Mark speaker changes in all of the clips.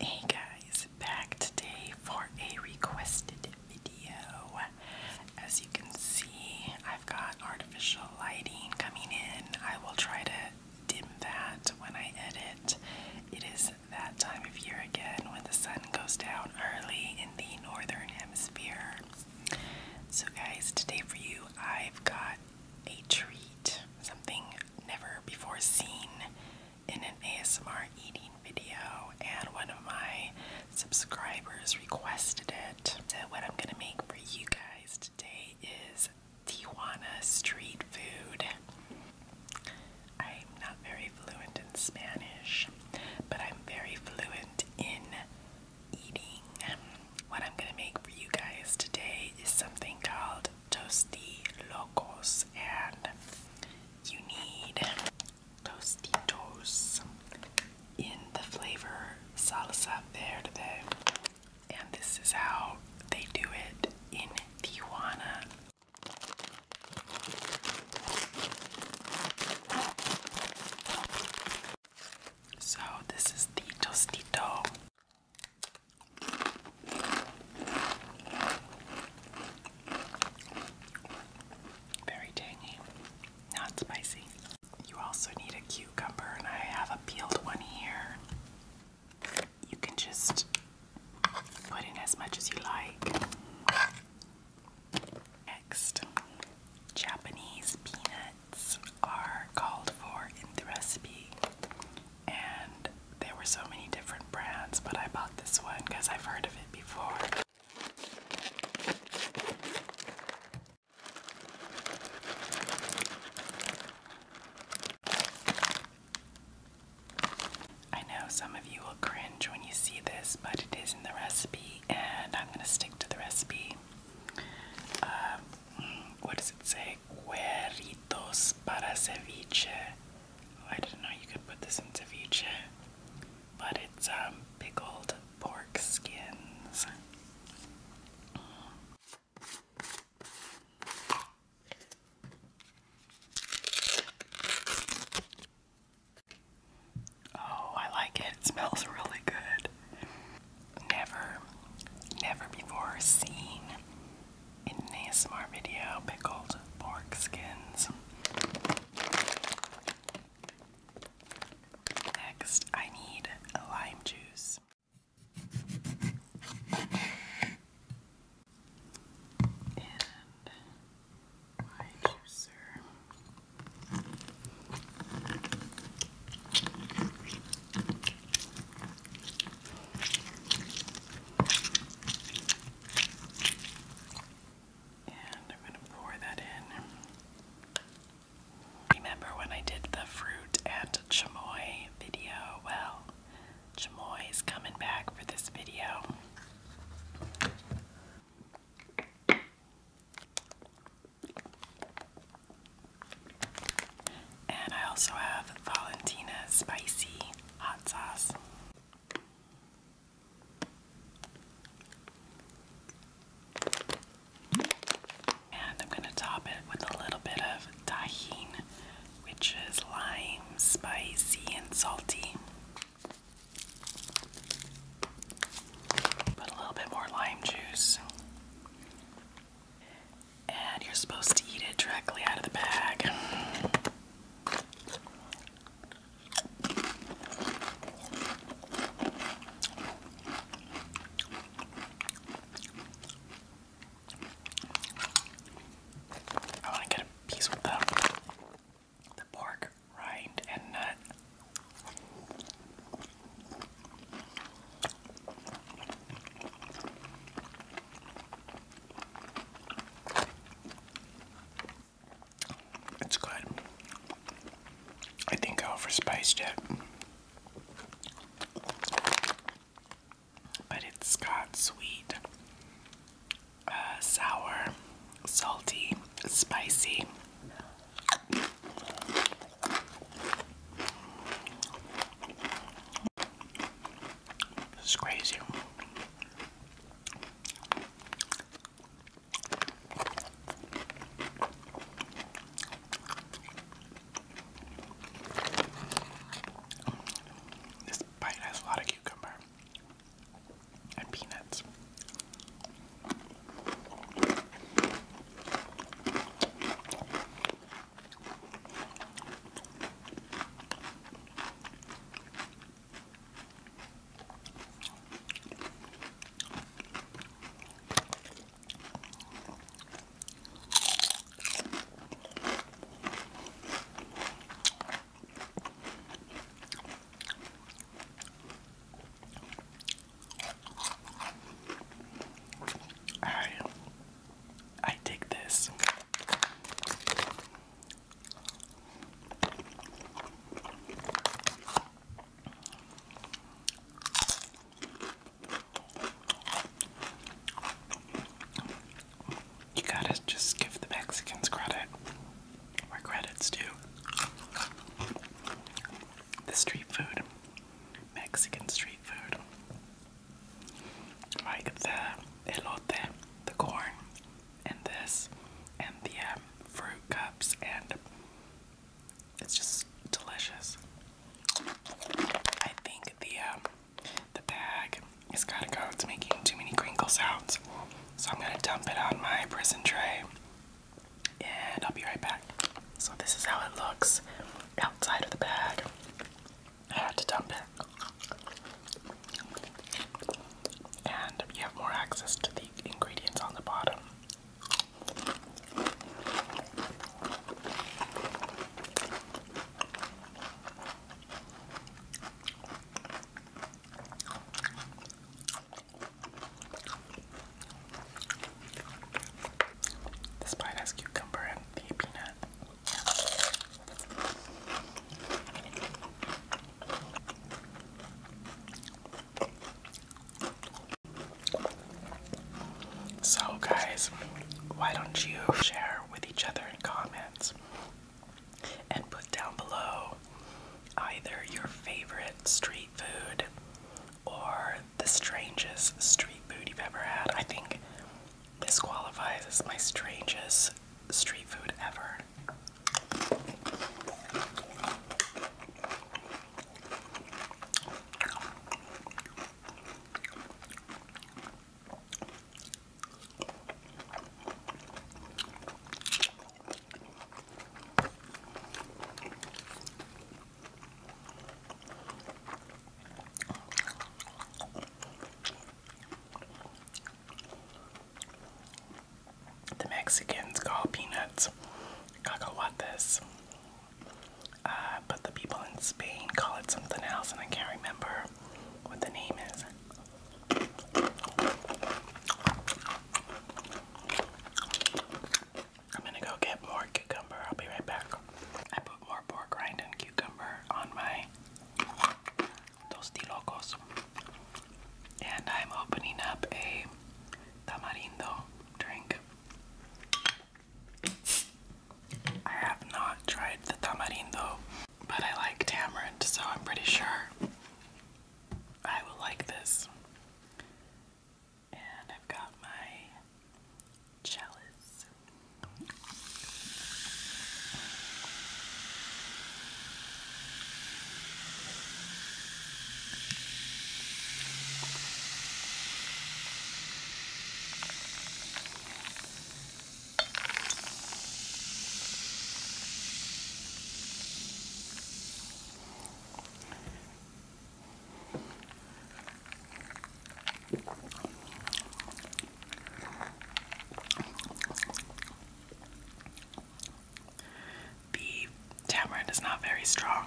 Speaker 1: Hey guys, back today for a requested video. As you can see, I've got artificial lighting coming in. I will try to dim that when I edit. It is that time of year again when the sun goes down early in the northern hemisphere. So, guys, today for you, I've got a treat something never before seen in an ASMR eating video, and one of my subscribers requested it. So, what I'm gonna make for you guys today is Tijuana street food. I'm not very fluent in Spanish, but I'm very fluent in eating. What I'm gonna make for you guys today is something called tosti locos, and you need tostitos in the flavor salsa verde, and this is how they do it in Tijuana. So, this is the tostito. Very tangy, not spicy. You also need a cucumber, and I have a peeled one here. You can just put in as much as you like. Next, Japanese peanuts are called for in the recipe, and there were so many different brands, but I bought this one because I've heard of it before. I know some of you will cringe when you see this, but it is in the recipe and I'm gonna stick to the recipe. Uh, what does it say? Cueritos para ceviche. Oh, I didn't know you could put this in ceviche, but it's um, pickled pork skins. Oh, I like it. It smells really good. Never, never before seen in an ASMR video pickled pork skins. Next, I need lime juice. And my juicer. And I'm going to pour that in. Remember when I did the fruit and chamoy video? Well, chamoy is coming back for this video. And I also have Valentina spicy hot sauce. And I'm going to top it with a little bit of tahine, which is lime, spicy, and salty. Put a little bit more lime juice. And you're supposed to eat it directly out of the bag. I want to get a piece with them the pork rind and nut. It's good. I think I overspiced it. But it's got sweet uh, sour, salty, spicy. It's crazy. This bite has a lot of cucumber and peanuts. Alright. I dig this. You gotta just give the Mexicans credit where credit's due. The street food, Mexican street food, like the elote, the corn, and this, and the um, fruit cups, and it's just delicious. I think the um, the bag is gotta go. It's making too many crinkle sounds. So I'm gonna dump it on my prison tray and I'll be right back. So this is how it looks outside of the bag. I had to dump it. And you have more access to the ingredients on the bottom. This bite has cucumber and peanut. So guys, why don't you share with each other in comments and put down below either your favorite street food or the strangest street food you've ever had. I think this qualifies as my strangest street food ever. The Mexicans call peanuts cacahuates, uh, but the people in Spain call it something else, and I can't remember what the name is. I'm gonna go get more cucumber. I'll be right back. I put more pork rind and cucumber on my tostilocos. And I'm opening up a tamarindo drink. I have not tried the tamarindo but I like tamarind, so I'm pretty sure I will like this. And I've got my chalice. The tamarind is not very strong.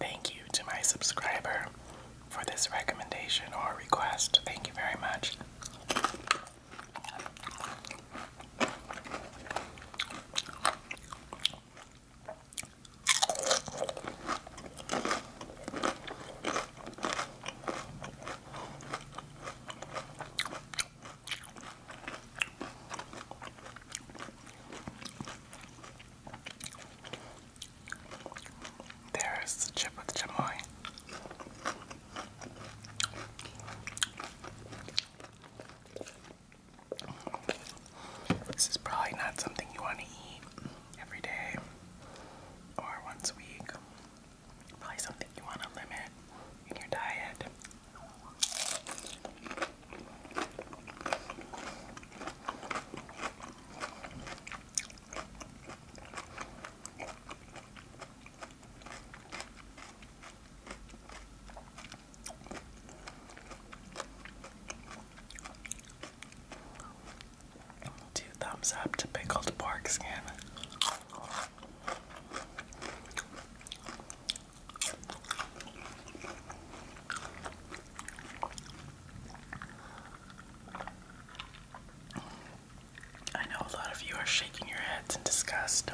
Speaker 1: Thank you to my subscriber for this recommendation or request. Thank you very much. There is the chip with chamoy. This is probably not something you want to eat every day or once a week. Probably something you want to limit in your diet. Two thumbs up to pickled pork skin. I know a lot of you are shaking your heads in disgust.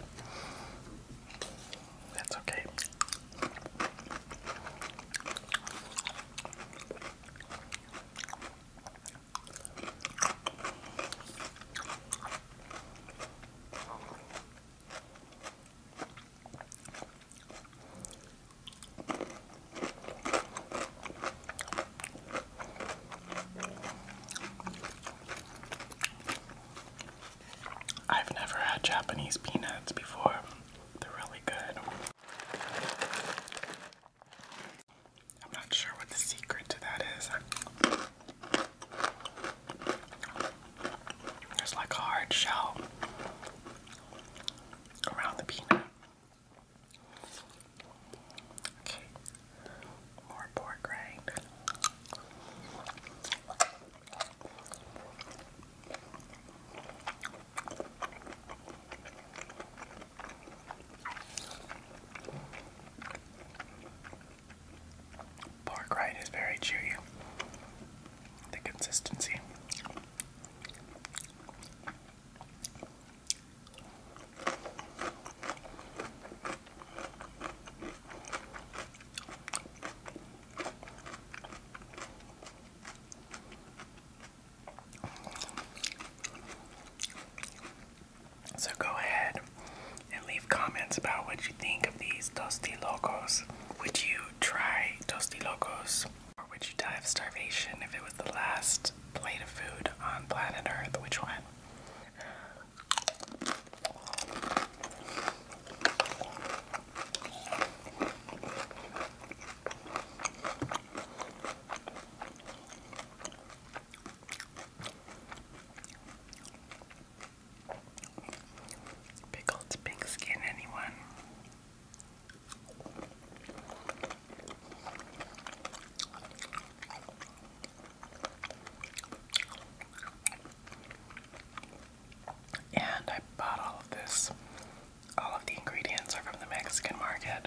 Speaker 1: That's okay. I've never had Japanese peanuts before. They're really good. I'm not sure what the secret to that is. There's like a hard shell around the peanut. Okay, more pork rind. Pork rind is very chewy. The consistency. So go ahead and leave comments about what you think of these dusty Locos. Would you try Tosti Locos? Or would you die of starvation if it was the last plate of food on planet Earth? Which one? Pickled pig skin, anyone? And I bought all of this. All of the ingredients are from the Mexican market.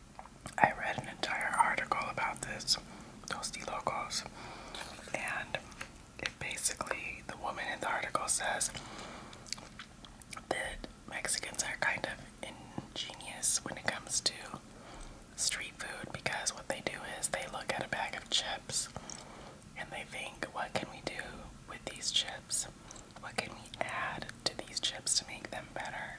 Speaker 1: I read an entire article about this, Toasty Locos, and it basically, the woman in the article says that Mexicans are kind of ingenious when it comes to street food because what they do is they look at a bag of chips and they think, what can we do with these chips? What can we add to these chips to make them better?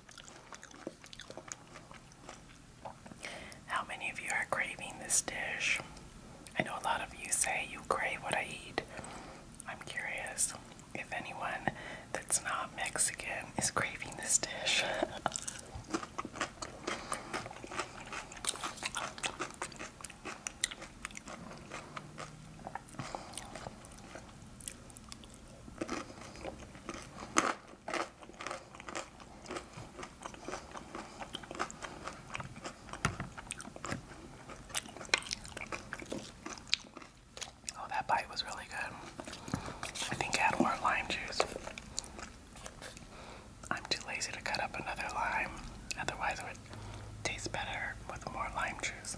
Speaker 1: How many of you are craving this dish? I know a lot of you say you crave what I eat. I'm curious if anyone that's not Mexican is craving this dish. Oh, that bite was really good. I think I had more lime juice. I'm too lazy to cut up another lime, otherwise, it would taste better with more lime juice.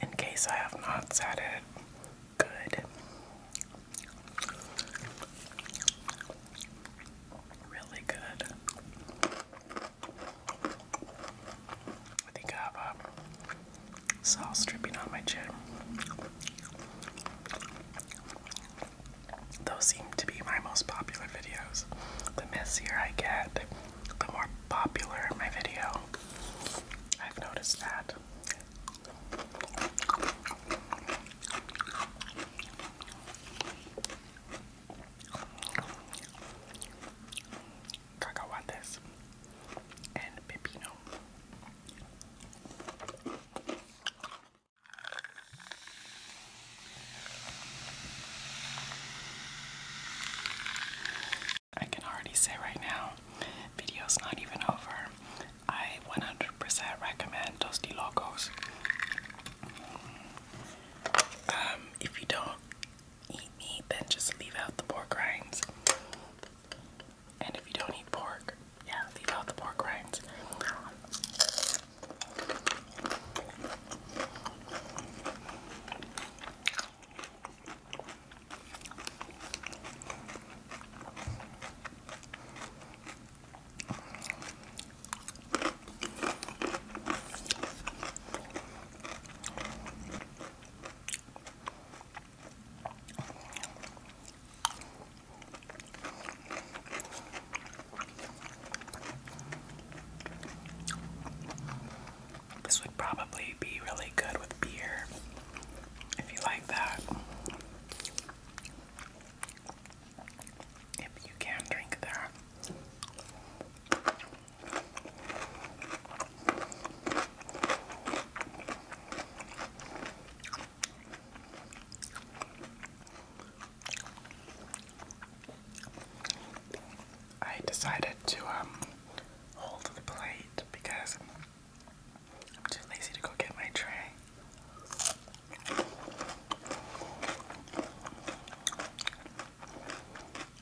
Speaker 1: In case I have not said it, good. Really good. I think I have a uh, sauce on my chin. Those seem to be my most popular videos. The messier I get, the more popular my video. I've noticed that cacahuates, and pepino. I can already say right now, video's not even over. I 100 recommend Dusty Locos. Um, if you don't eat meat, then just leave out the pork rinds. And if you don't eat pork, yeah, leave out the pork rinds. This would probably be really good with beer if you like that. If you can drink that. I decided to um, hold the plate because I'm too lazy to go get my tray.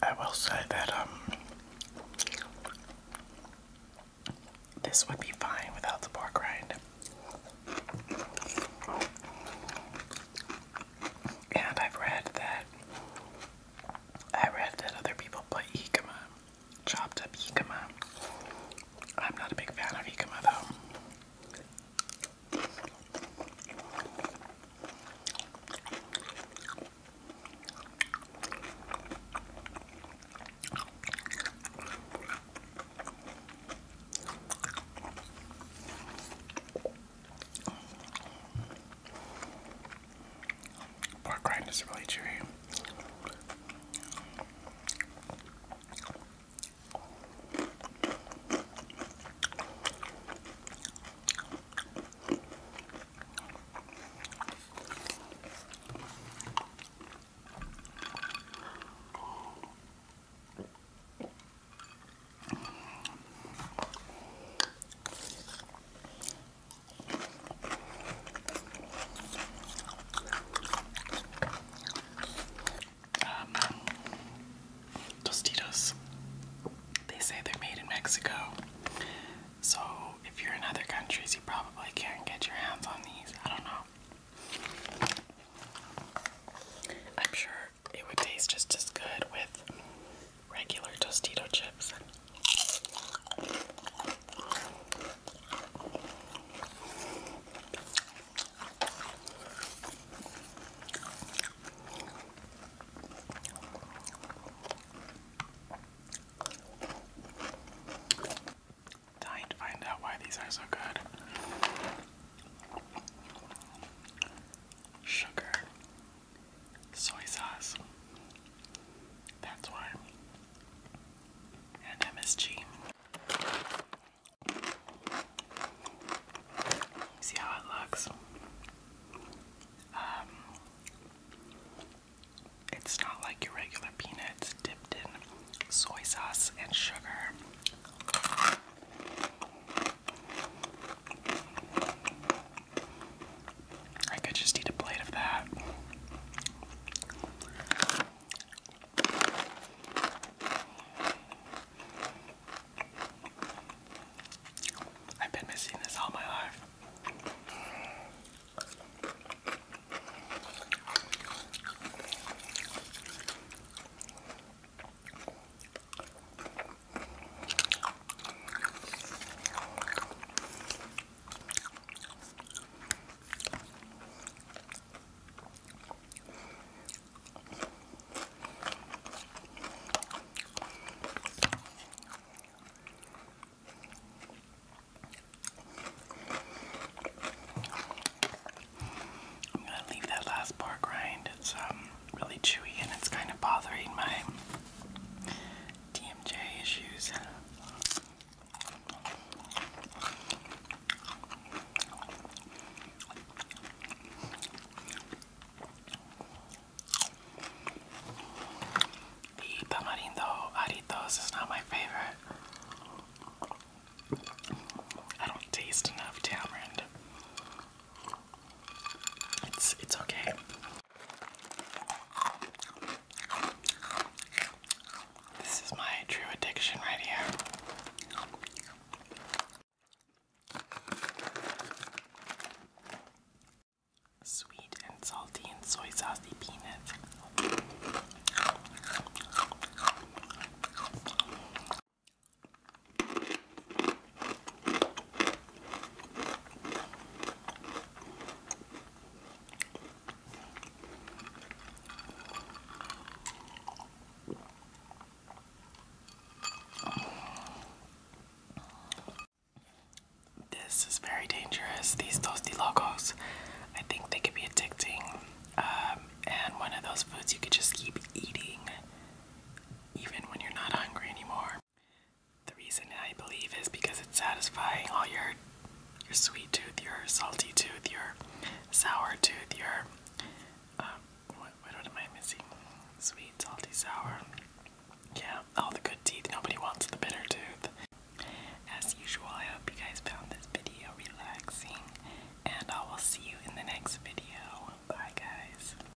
Speaker 1: I will say that um this would be fine without the pork rind. And I've read that I read that other people put jicama, chopped up jicama. I'm not a big fan of jicama though. Pork rind is really chewy. Um, um, tostitos. They say they're made in Mexico. So if you're in other countries, you probably can't get your hands on these. I don't know. I'm sure it would taste just as good with regular Tostito chips. And to find out why these are so good. Sugar soy sauce. That's why. And MSG. See how it looks? Um, it's not like your regular peanuts dipped in soy sauce and sugar. I could just eat a plate of that. I've been missing this all my life. I'm gonna leave that last part grind. It's um really chewy and it's kind of bothering my DMJ issues. The tamarindo aritos is not my favorite. I don't taste enough tamarind. It's it's okay. This is my true addiction right here. Sweet and salty and soy saucey peanuts. This is very dangerous, these toasty logos. I think they could be addicting. Um, and one of those foods you could just keep eating even when you're not hungry anymore. The reason I believe is because it's satisfying all your your sweet tooth, your salty tooth, your sour tooth, your um, what am I missing? Sweet, salty, sour. Yeah, all the good teeth. Nobody wants the bitter tooth. As usual, I hope you guys found this video relaxing, and I will see you in the next video. Bye, guys.